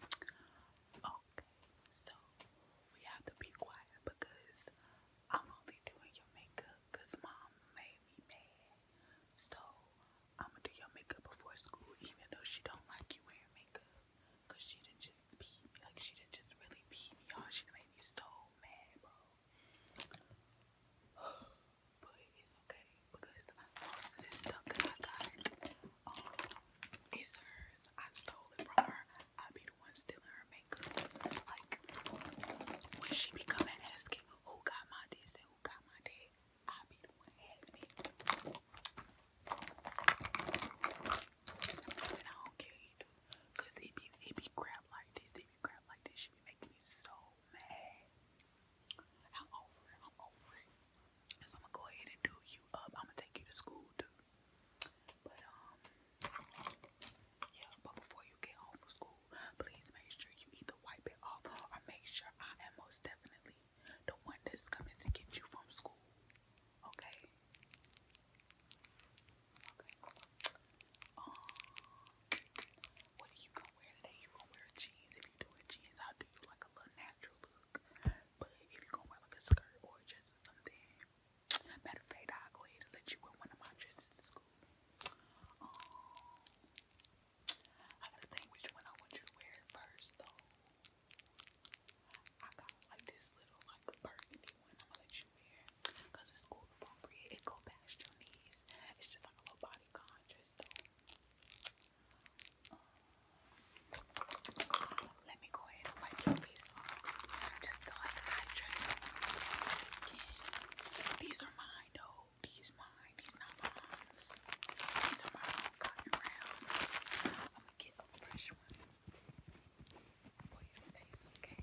Okay, so we have to be quiet because I'm only doing your makeup because mom made me mad. So I'm gonna do your makeup before school, even though she don't like you wearing makeup. Cause she didn't just pee me, like she didn't just really pee me, y'all. She made me so mad, bro. But it's okay because most of this stuff that I got, it's hers. I stole it from her. I be the one stealing her makeup. Like when she be coming asking who got my this and who got my that, I be the one having it. And I don't care Cause it be it be crap like this. It be crap like this. She be making me so mad. I'm over it. I'm over it. I'm gonna go ahead and do you up. I'm gonna take you to school too. But um yeah, but before you get home from school, please make sure you either wipe it off or make sure I am most definitely the one that's coming to get you from school. Okay. Okay. Um what are you gonna wear today? You gonna wear jeans. If you doing jeans, I'll do you like a little natural look. But if you're gonna wear like a skirt or dress or something, matter of fact, I'll go ahead and let you wear one of my dresses to school. Um, I gotta think which one I want you to wear first though. I got like this little like burgundy one I'm gonna let you wear because it's school appropriate. It go past your knees. It's just like a little bodycon dress though. Let me go ahead and wipe your face off. Just to let the nitrate your skin. These are mine though. These mine. These not mine. These are my own cotton rounds. I'm gonna get a fresh one for your face, okay?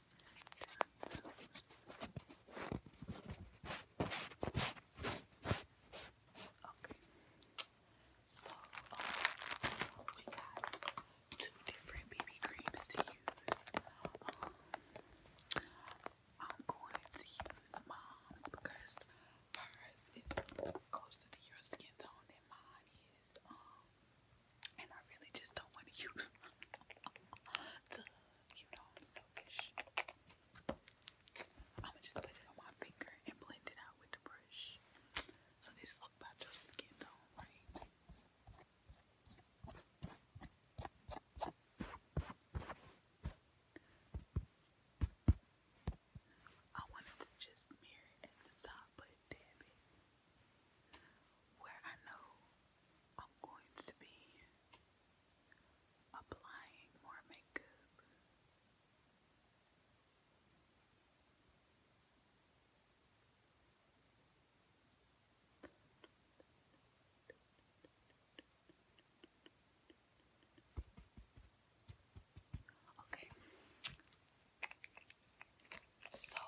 Okay. So we got two different BB creams to use. Um, I'm going to use mom's because hers is closer to your skin tone than mine is. Um, and I really just don't want to use you know I'm selfish. I'ma just put it on my finger and blend it out with the brush. So this look about your skin tone, right? I wanted to just mirror it at the top, but dab it. Where I know I'm going to be applying more makeup. Okay. So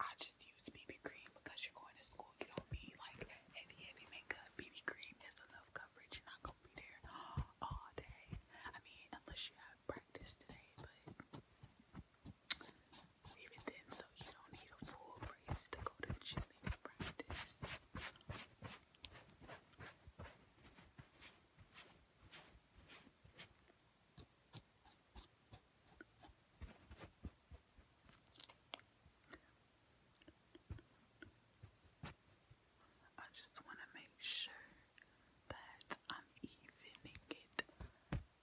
I just use BB cream because you're going to school people, you know like heavy, heavy makeup, BB cream is enough coverage. You're not gonna be there all day. I mean, unless you have practice today, but even then, so you don't need a full brace to go to gym and practice. I just want to make sure that I'm evening it.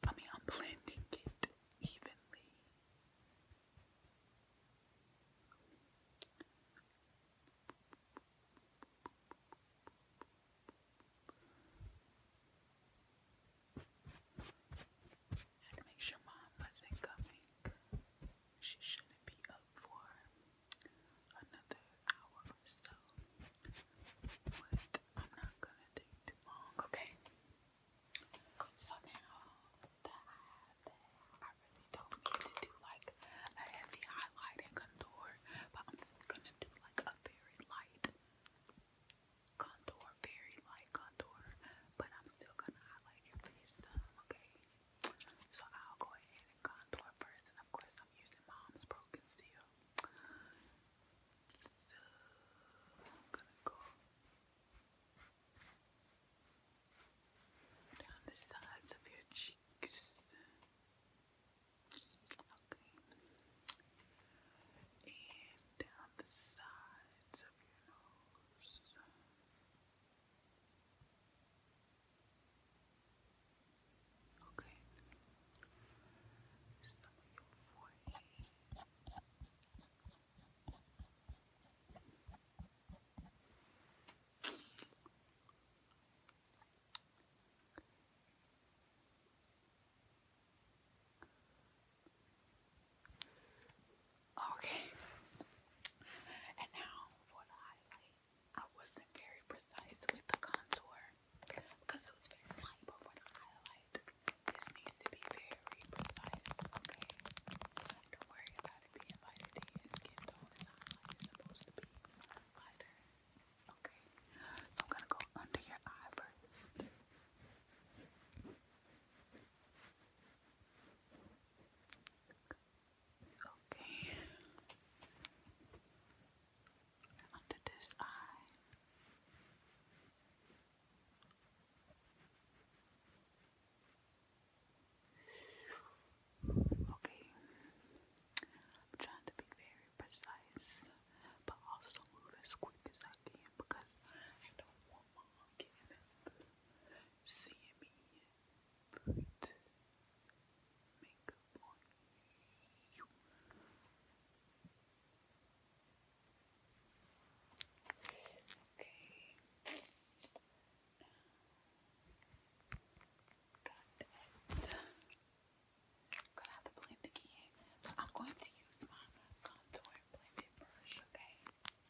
I mean, I'm blending it evenly make sure mom wasn't coming. She shouldn't be up for another hour so. I'm not gonna take too long, okay? So now that I have that, I really don't need to do like a heavy highlight and contour, but I'm just gonna do like a very light contour, very light contour but I'm still gonna highlight your face okay? So I'll go ahead and contour first, and of course I'm using Mom's Pro Conceal. So I'm gonna go down the sides of your cheeks. Okay. And down the sides of your nose. Okay. Some of your forehead. Good. Okay. And now for the highlight. I wasn't very precise with the contour because it was very light, but for the highlight, this needs to be very precise, okay? Don't worry about it being lighter than skin tone. highlight is supposed to be lighter. Okay. So I'm gonna go under your eye first. Okay. Under this eye. Okay. I'm trying to be very precise, but also move as quick as I can because I don't want my arm getting CME put makeup on Okay. Got that. Gonna have to blend again. I'm going to use my contour brush, okay?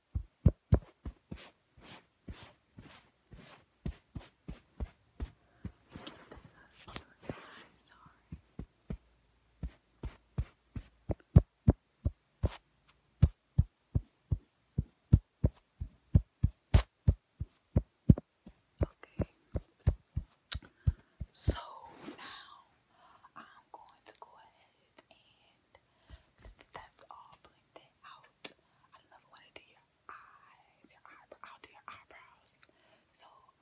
Okay. So now I'm going to go ahead and since that's all blended out, I don't know want to do your eyes, your eyebrows. So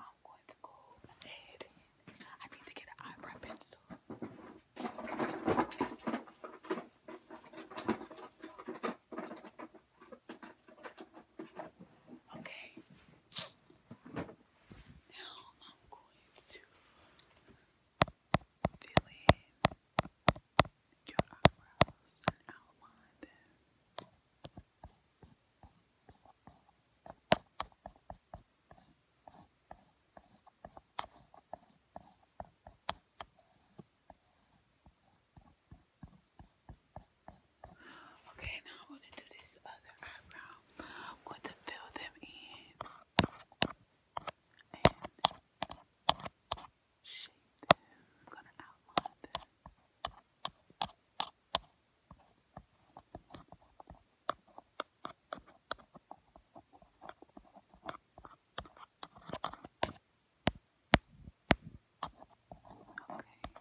I'm going to go ahead and I need to get an eyebrow pencil. Okay. Now I'm going to fill in your eyebrows and outline them. Okay, now I'm to do this other eyebrow. I'm to fill them in shape them. I'm gonna outline them. Okay.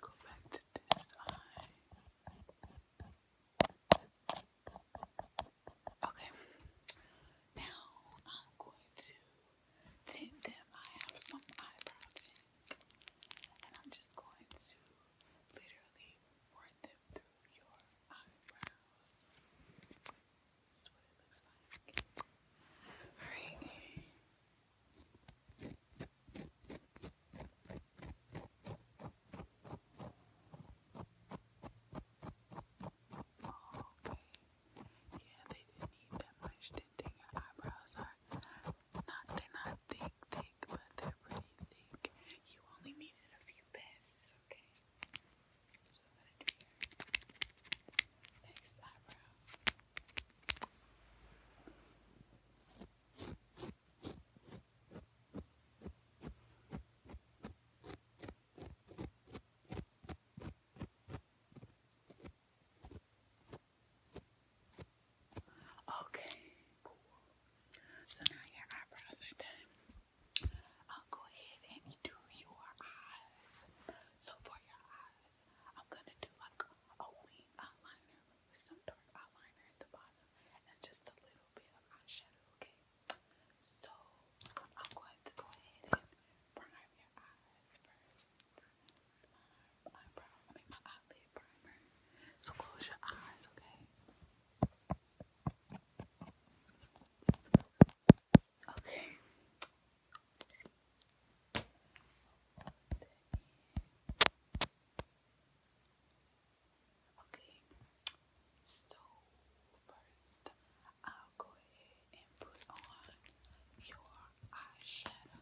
Go back to this eye. Okay. Now I'm going to tint them. I have some eyebrow And I'm just going to literally run them through your eyebrows. That's what it looks like. Alright. Yeah, they didn't need that much tinting. Your eyebrows are not, they're not thick, thick, but they're pretty thick. You only needed a few passes, okay? So I'm gonna do here. Next eyebrow. Okay, cool. So now your eyebrows are done. I'll go ahead and do your eyes. So for your eyes. I'm gonna do like a wing eyeliner with some dark eyeliner at the bottom and just a little bit of eyeshadow, okay? So I'm going to go ahead and prime your eyes first. My eyebrow, I mean my eyelid primer. So close your eyes, okay? Okay, Okay, so first I'll go ahead and put on your eyeshadow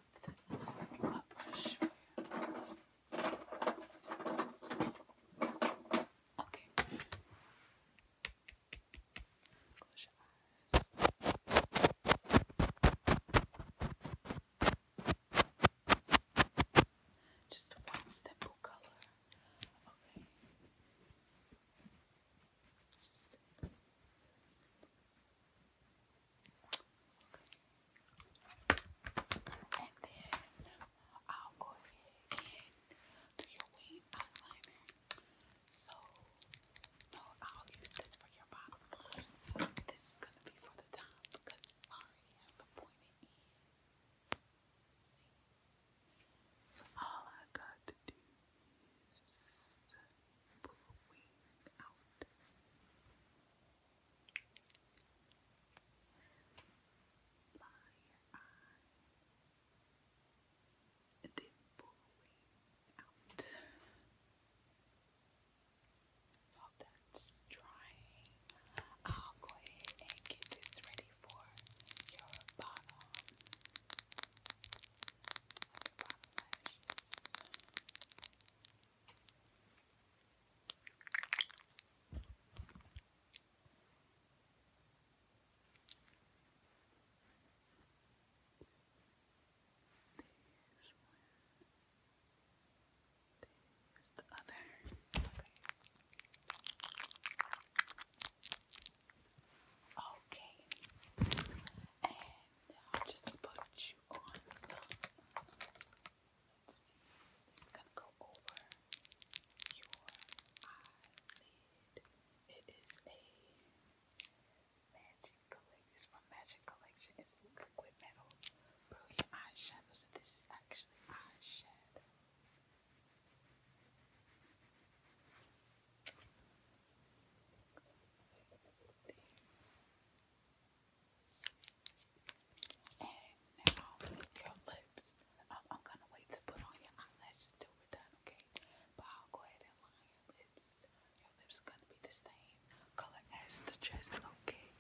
underneath another Okay. Close your eyes. Just one simple color. Okay. And then I'll go ahead and do your wing eyeliner. So, no, I'll use this for your bottom This is gonna be for the top because I have a pointed end. So all I got to do is pull the wing out. Liar eye. And then pull out. While that's drying, I'll go ahead and get this ready for your bottom. Like your lashes. There's the other. Okay. okay. And and now just put you on Let's see. It's gonna go over your eyelid. It is a magic collection. It's from Magic Collection. It's liquid metal. Brilliant eyeshadows. So this is actually eyeshadow. There. And now your lips. I'm, gonna wait to put on your eyelashes till we're done, okay? But I'll go ahead and line your lips. Your lips are gonna be the same color as the dress, okay?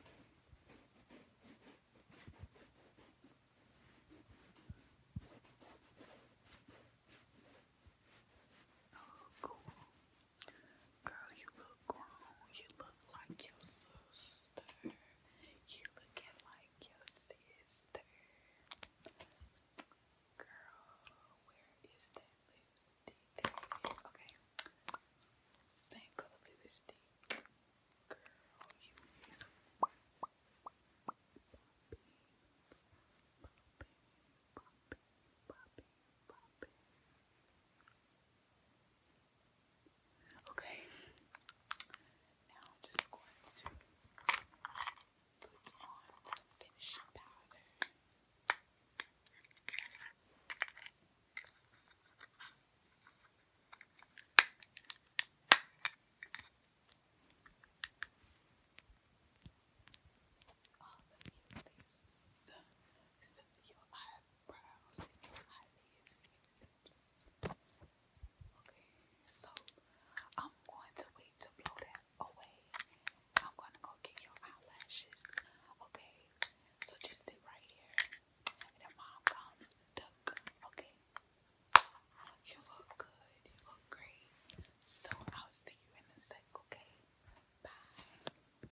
Oh, cool. Girl, you look grown. You look like your sister. You looking like your sister. Girl, where is that lipstick? There it is. Okay. Same color lipstick. Girl, you Okay, now just going to put on some finishing powder. All of your faces, so, your eyes brows Okay, so I'm going to wait to blow that away. I'm gonna go get your eyelashes. Okay, so just sit right here. And mom comes, Okay, you look good. You look great. So I'll see you in a sec. Okay, bye.